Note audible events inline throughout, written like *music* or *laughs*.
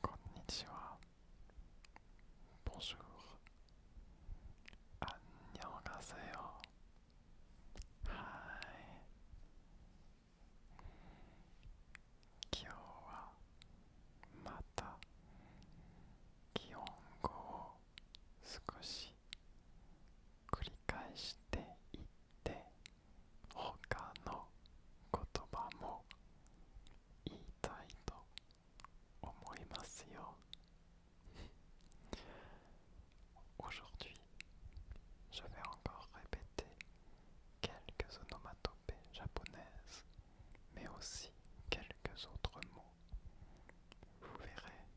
こん Bonjour. 안녕하세요 Hi. 今日はまた気温語を少し繰り返していって他の言葉も言いたいと思いますよ *laughs* Aujourd'hui, je vais encore répéter quelques onomatopées japonaises, mais aussi quelques autres mots. Vous verrez,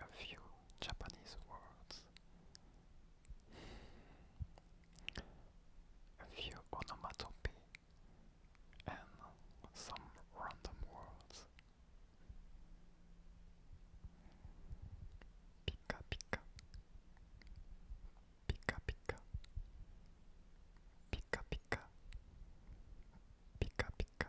a few Japanese words, a few onomatopoeia, and some random words. Pika pika, pika pika, pika pika, pika pika,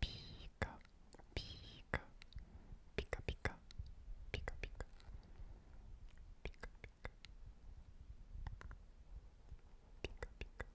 Pika, pika, pika, pika, pika, pika, pika, pika, pika, pika, pika, pika,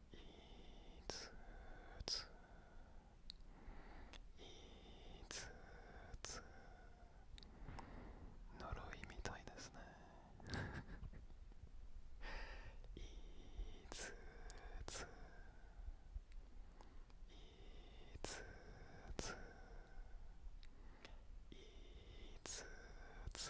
つついつ呪いみたいですねいつつつつつ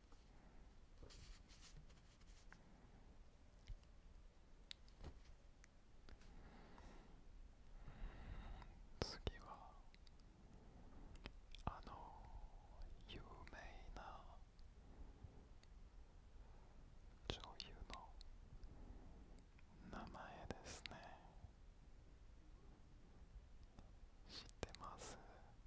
次はあの有名な女優の名前ですね知ってます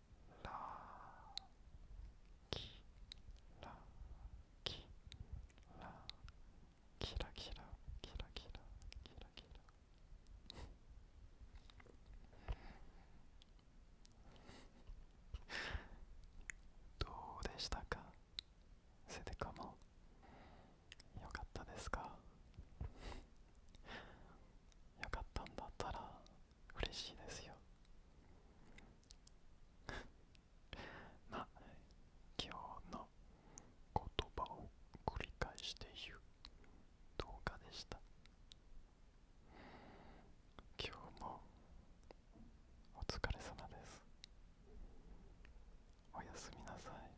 ラキラキラキラキラキラキラキラキラどうでしたかセでかもよかったですかよかったんだったら嬉しいですよま *laughs* 今日の言葉を繰り返していう動画でした今日もお疲れ様ですおやすみなさい